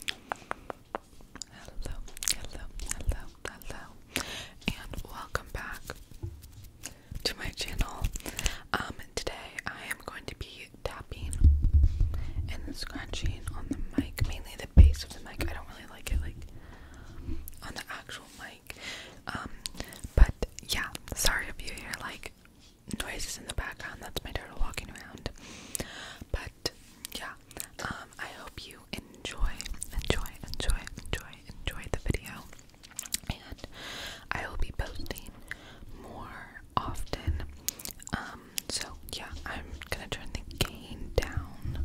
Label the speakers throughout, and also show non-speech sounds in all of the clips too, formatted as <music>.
Speaker 1: Hello, hello, hello, hello, and welcome back to my channel. Um, today I am going to be tapping and scratching on the mic, mainly the base of the mic. I don't really like it, like on the actual mic. Um, but yeah, sorry if you hear like noises in the background. That's my turtle walking around. But yeah, um, I hope you enjoy, enjoy, enjoy, enjoy, enjoy the video. And I will be posting more often. Um, so yeah, I'm gonna turn the gain down.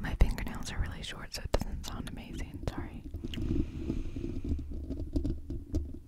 Speaker 1: My fingernails are really short, so it doesn't sound amazing. Sorry.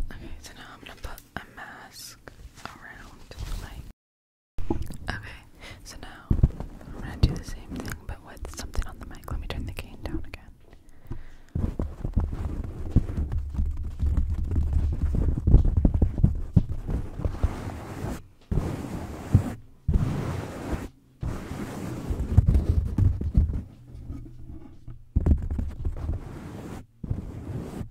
Speaker 1: Okay, so now I'm gonna put a mask around my Okay, so now I'm gonna do the same thing but with something on the mic. Let me turn the cane down again.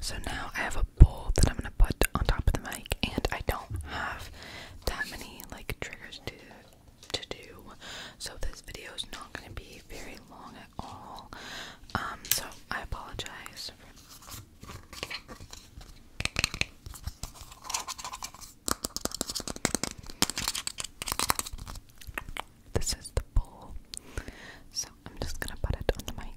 Speaker 1: So now I have a bowl that I'm gonna put on top of the mic, and I don't have that many like triggers to to do, so this video is not gonna be very long at all. Um, so I apologize. This is the bowl. So I'm just gonna put it on the mic.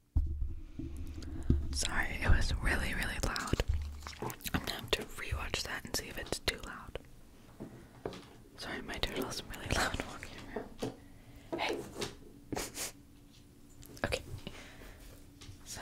Speaker 1: Sorry, it was really, really loud. I'm gonna have to rewatch that and see if it's too loud. Sorry, my turtle's really <laughs> loud walking around. Hey! <laughs> okay. So.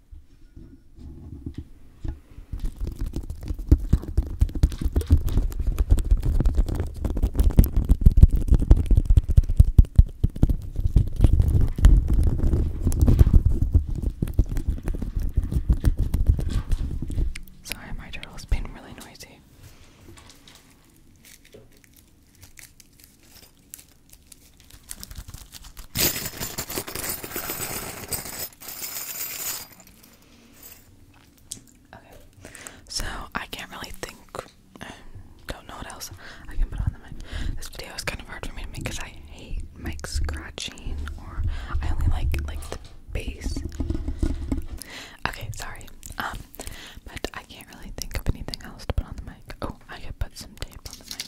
Speaker 1: Sorry, my turtle's been really noisy so I can't really think. I don't know what else I can put on the mic. This video is kind of hard for me to make because I hate mic scratching, or I only like like the bass. Okay, sorry. Um, but I can't really think of anything else to put on the mic. Oh, I could put some tape on the mic.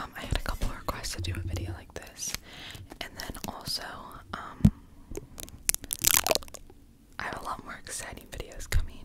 Speaker 1: Um, I had a couple requests to do a video like this, and then also, um, I have a lot more exciting videos coming.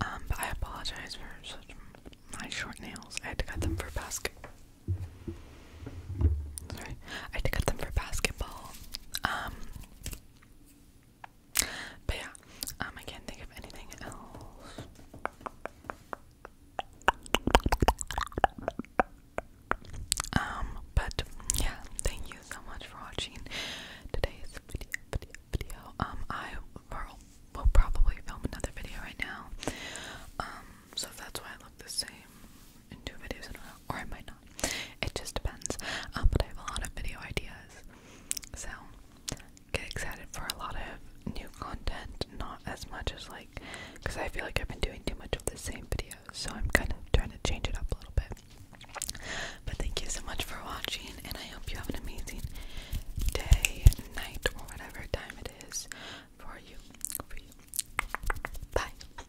Speaker 1: Um, but I apologize for my short nails. I had to cut them for basket. Sorry, I had to cut them for basketball. Um, but yeah, um, I can't think of anything else. Um, but yeah, thank you so much for watching today's video. Video, video. Um, I will, probably film another video right now. Um, so that's why I look the same in two videos in a row, or I might it just depends. Um, but I have a lot of video ideas. So get excited for a lot of new content, not as much as like because I feel like I've been doing too much of the same videos, so I'm kind of trying to change it up a little bit. But thank you so much for watching, and I hope you have an amazing day, night, or whatever time it is for you. For you. Bye.